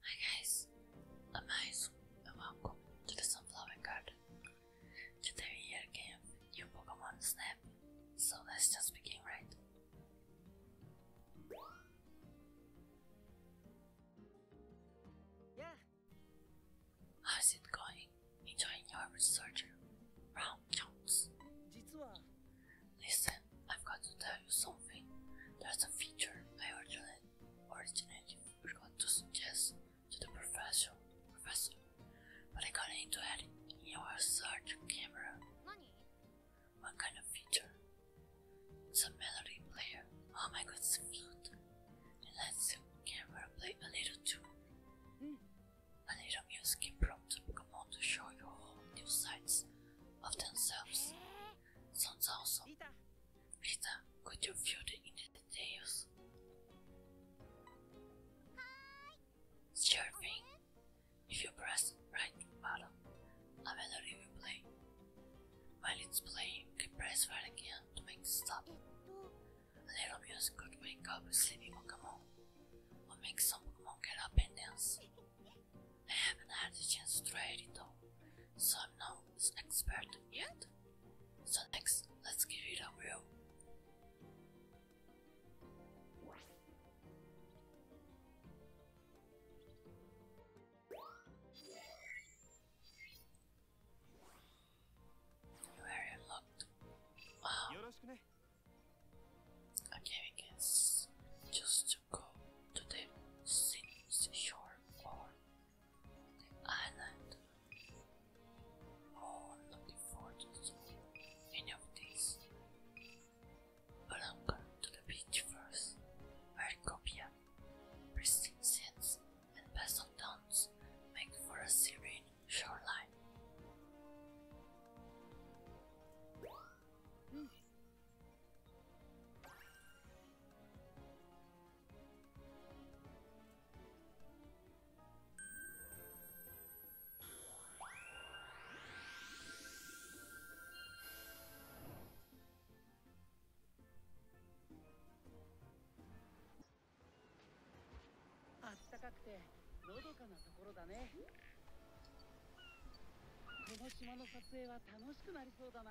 Hi guys, I'm Ice and welcome to the Sunflower Garden. Today we are game new Pokemon Snap, so let's just begin right. Yeah. How's it going? Enjoying your researcher, Brown Jones. Listen, I've got to tell you something. There's a feature I originally design originated which got to suggest to the professor professor. But I got into adding in your search camera. What kind of feature? Some melody player. Oh my god, it's flute. And let's see camera play a little too. Hmm. A little music prompt Come on, to show you all new sides of themselves. Sounds awesome. Rita, could you fill in the details? Sure thing. If you press right button, i a melody will play. While it's playing, you can press right again to make it stop. little music could wake up a sleeping Pokemon, or make some Pokemon get up and dance. I haven't had the chance to try it though, so I'm not an expert yet. So next, let's give it a whirl. Very locked. Wow. Okay, we can just to go to the seashore or the island. Oh, I'm looking forward to any of these. But I'm going to the beach first, where copia, pristine sands, and basalt dunes make for a serene shoreline. Hmm. あったかくてのどかなところだねこの島の撮影は楽しくなりそうだな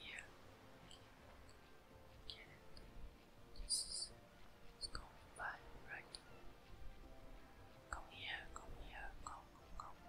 Yeah, get it. This is it's by right. Come here, come here, come, come, come.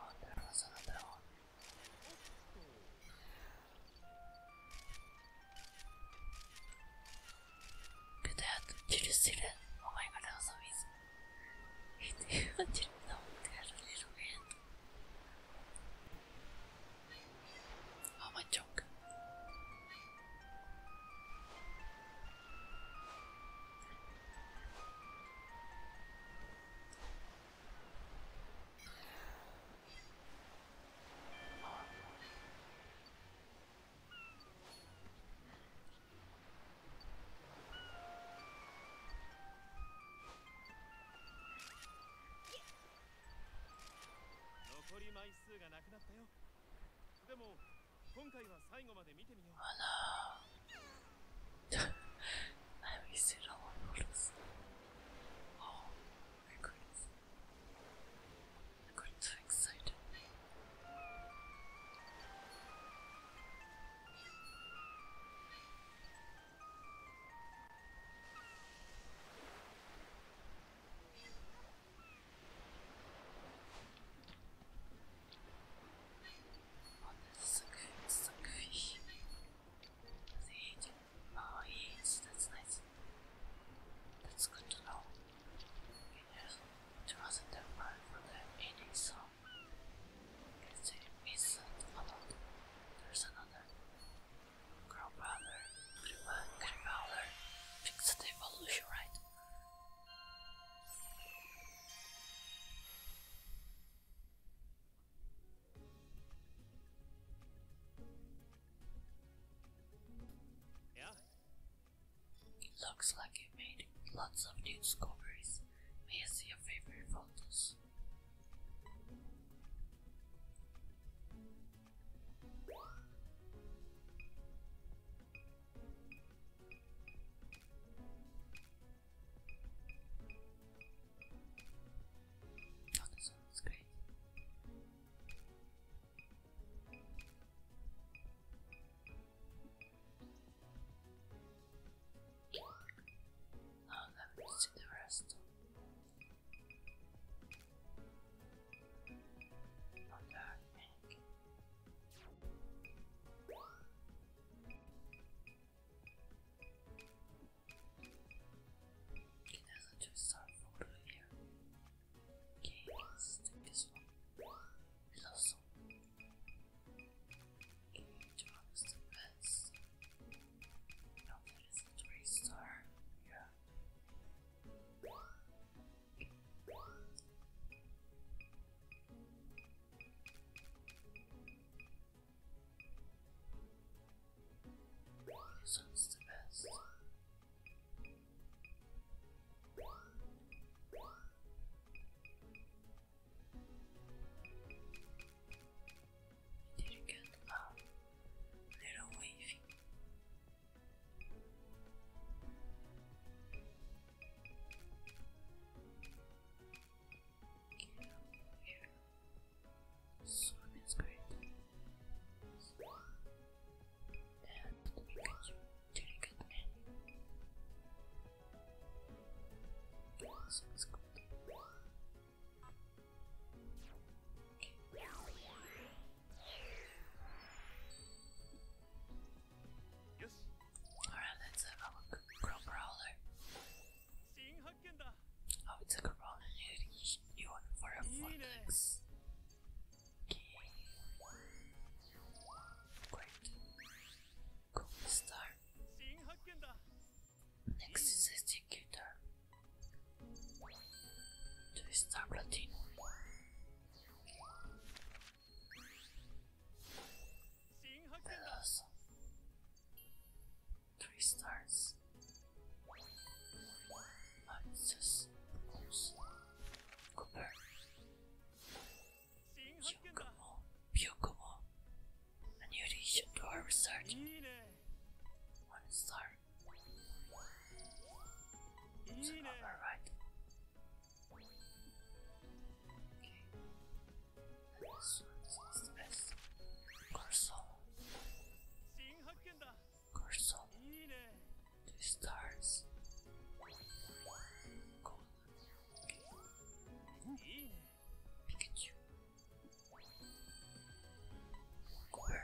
Oh, there was another one. Look at that. Did you see that? Oh my god, that was amazing. It even didn't know that a little bit. Oh my junk. 残り枚数がなくなったよでも Oh no. I wasted all my photos. Oh my goodness. I got so excited. ものすごいすごい正義の多い立つない立つことの It is trusted by for the any song. It's a followed. There's another. Grandfather, Grandfather, fix the evolution right. Yeah? It looks like you made lots of discoveries. May I see your favorite photos? Oh, this great. Now let me see the rest. On Okay, there's a two-star photo here. Okay, let this one. It's also okay, John Now there is a three-star. Yeah. This one's the best. We did get a little wavy. Yeah, yeah. Swim is great. And you can drink it in. Sounds good. Okay. Alright, let's have a brawler. Oh, it's a crawler. You want for a fox. Great. Cool star. Next is executor. Two star platinum three stars. What is this? Cooper. Shokumo, Byokumo. A new addition to research. One star. So, Okay. And this one is the best. Corso. Corso. Two stars. Gold. Okay. Pikachu. Cooper.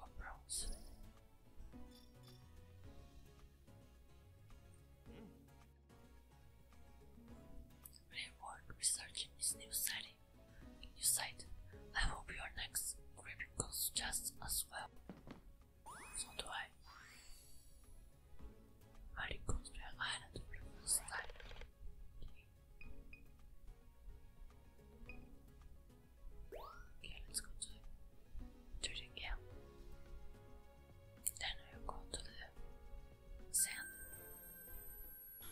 A bronze. Reward researching this new city. New site. I hope your next grip goes just as well. So do I. I could be an Okay, let's go to Turning Hill. Then we'll go to the sand. The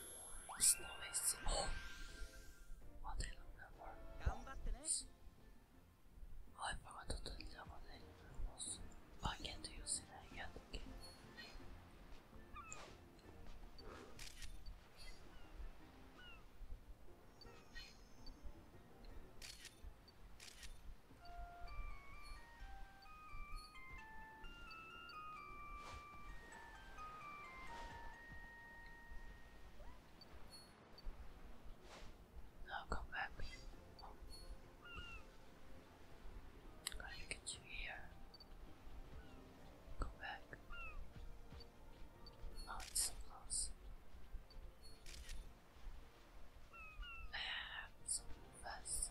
snow oh, What I love that Oh, I forgot to tell you what I can't use it yet. Now come back. i get you here. Go back. Oh, it's so close. Ah, so fast.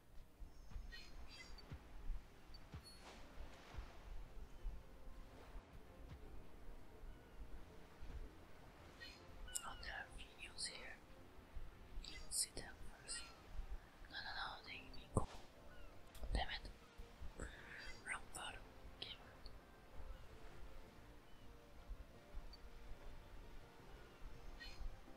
Oh, videos here. See them first. No, no, no, they mean Damn it. Wrong photo. it.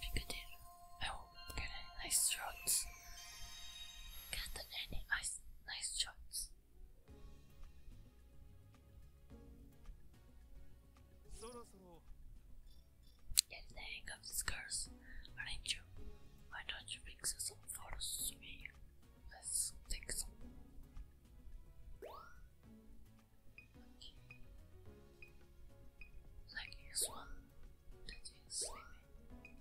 Piccadilly. Oh, got any nice shots. Got any nice, nice shots. Get the hang of this curse, aren't you? Why don't you fix some photos for me? Let's take some. Okay. Like this one that is sleeping.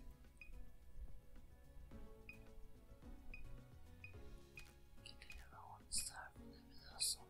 Get the one star from the middle, so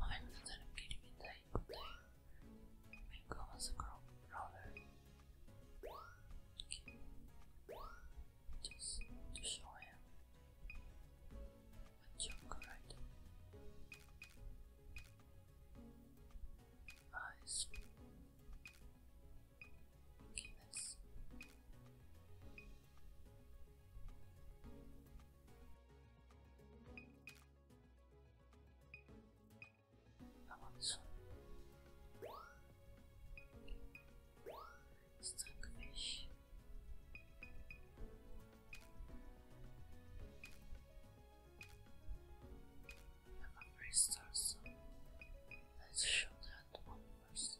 I'm instead of getting in the could play. We go as a crowd rather. Okay. Just to show him a joke, right? Nice. Okay, let's. How about this Stuck fish. i a three star, so let's show that one one first.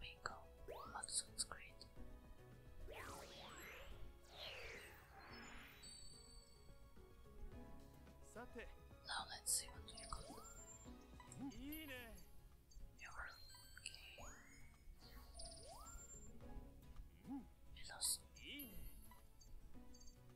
We go. That sounds great. Now let's see what we got. Your game. Blossom. Hmm.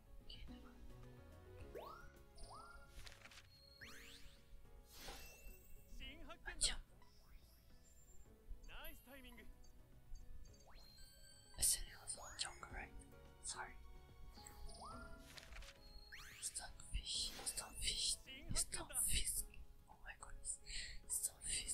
Nice timing. I said was all right? Sorry. Stonefish, stonefish, stonefish. Oh my goodness, stonefish.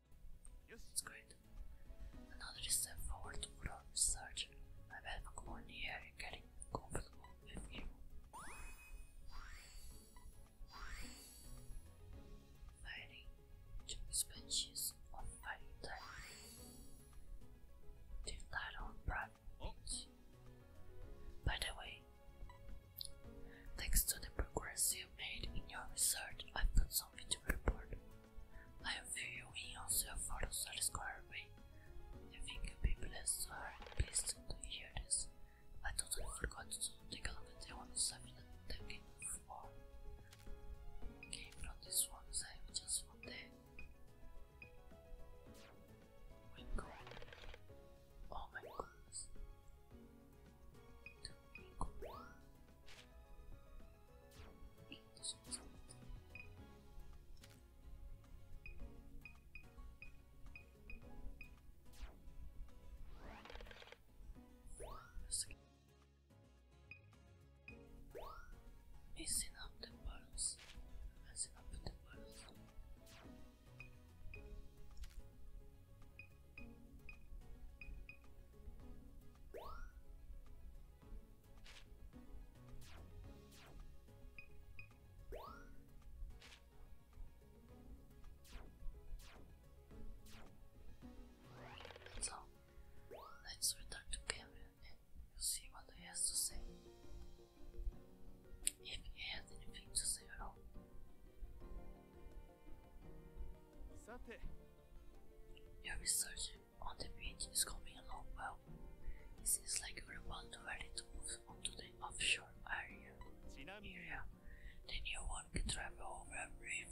It's great. Another step forward for our research. I bet more here getting comfortable with you. Fighting two species of fighting type. The title oh. By the way, thanks to the progress you have made in your research, I've got something to report. I am viewing yourself for the solid square I think people are pleased to hear this. I totally forgot to take a look at the one seven that came before. Came from this one side just one day. Wing Oh my goodness. Oh Messing up the balls. Messing up the balls. So, let's return to Gabriel and see what he has to say. If he has anything to say at all. Your research on the beach is coming along well. It seems like you're about to ready to move onto the offshore area. area. The new one can travel over a reef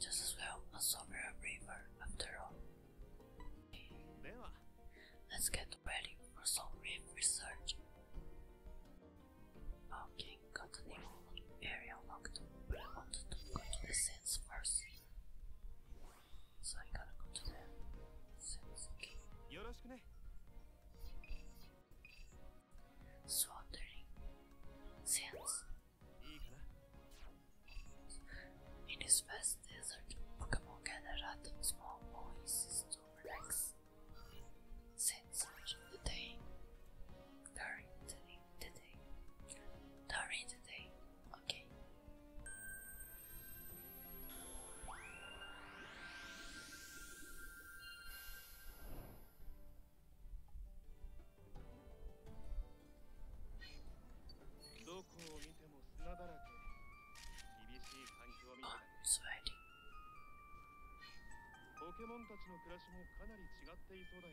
just as well as over a river after all. Let's get ready for some reef research. Okay, got area locked, but wanted to go to the sands first. So I gotta go to the sands. Swatering sands. In his vast desert, Pokemon gather at small oases to relax. Since of the day, during the the day. During the day. Okay. I'm sweating. ポケモンたちの暮らしもかなり違っていそうだよ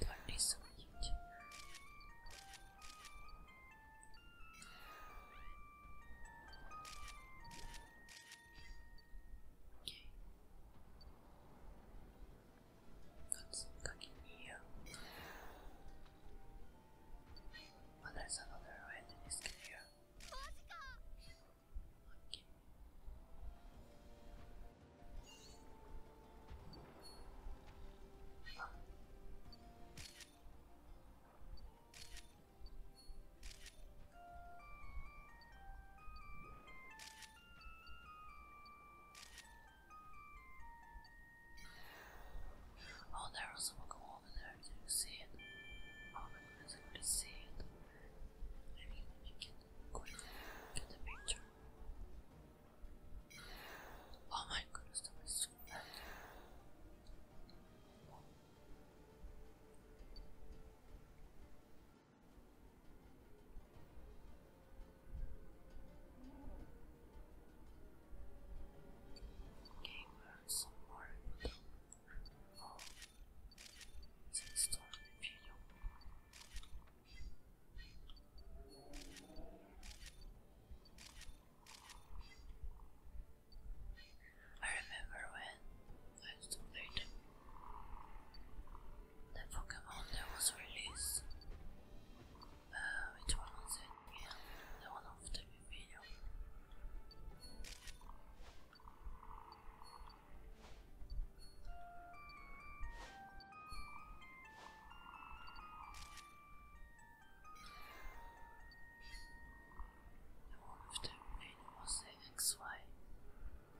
Дальний сумніть. Окей. That's fucking you. another way to this Oh, there was a over there. Did you see it? Oh my goodness, I could see it. Maybe let me get the picture. Oh my goodness, that was so bad. Okay, we Oh, it's a storm in I remember when I played the Pokemon that was released. which uh, was it? the one of the video. The one with the was the XY.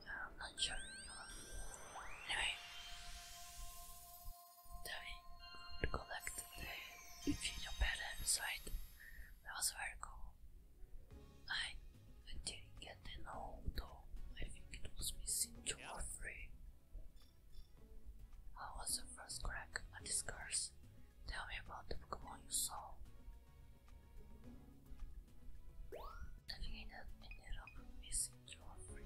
I'm Anyway, Davi could collect the infusion pad inside. That was very cool. I, I didn't get an old though. I think it was missing two or three. How was the first crack at this curse? Tell me about the Pokemon you saw. Nothing that ended up missing you are free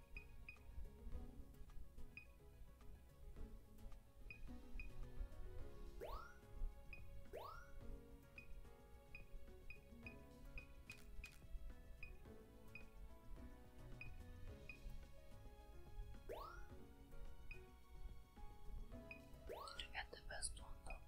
And the best one though.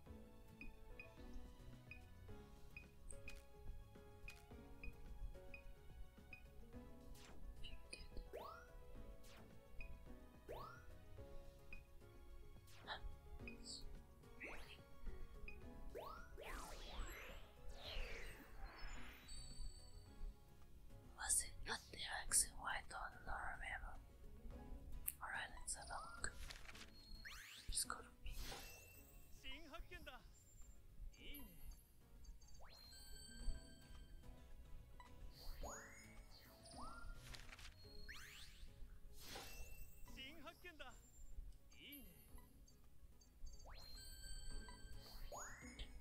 Huh. Really? Was it not the accent? Why don't remember? Alright, let's have a look. It's good.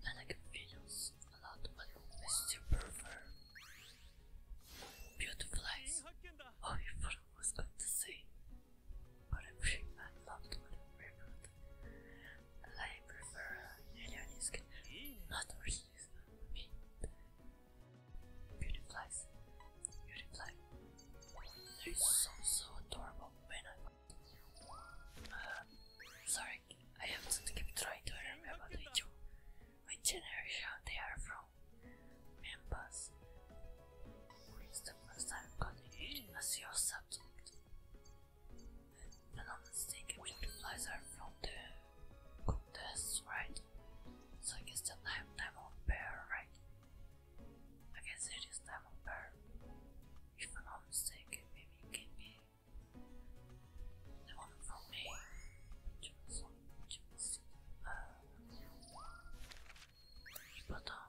I like videos a lot, but I still prefer beautiful eyes. Oh, to say I'm sure I loved what ribbed. I prefer alienisk, uh, not Orsius. Me. Beauty flies. Beauty fly. They're so so adorable when I uh, sorry, I have to keep trying to remember which two. generation they are from members it's Wisdom must have continued as your subject. If I'm not mistaken, butterflies are from the contest, right? So I guess the time diamond bear, right? I guess it is time diamond bear. If I'm not mistaken, maybe it can be the one from me. Just, uh, Button.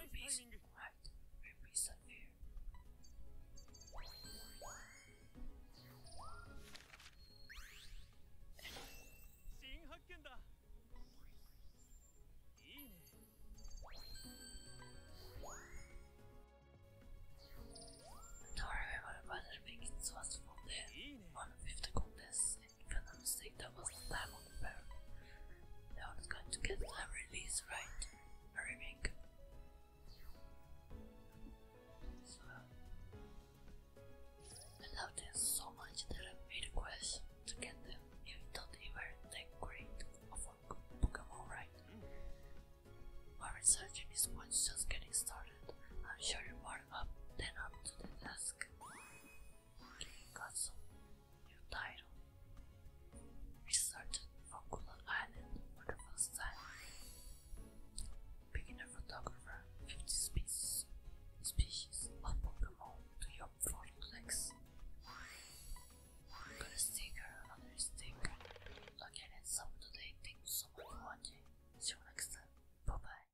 Rubies, right? Rubies are there. Don't worry about the brother making sauce from there. 150 gold is if I'm that was the time of the bear. going to get a release, right? A remake. So, I love this so much that I made a quest to get them, even though they were that great of a Pokemon, right? My research in this just getting started. I'm sure you're more up than up to the task. Kirikazu, new title, researched Vokula Island for the first time. Beginner photographer, 50 species, species of Pokemon to your vortex. Got a sticker, another sticker. Again, it's up to date. Thank you so much for watching. See you next time. Bye bye.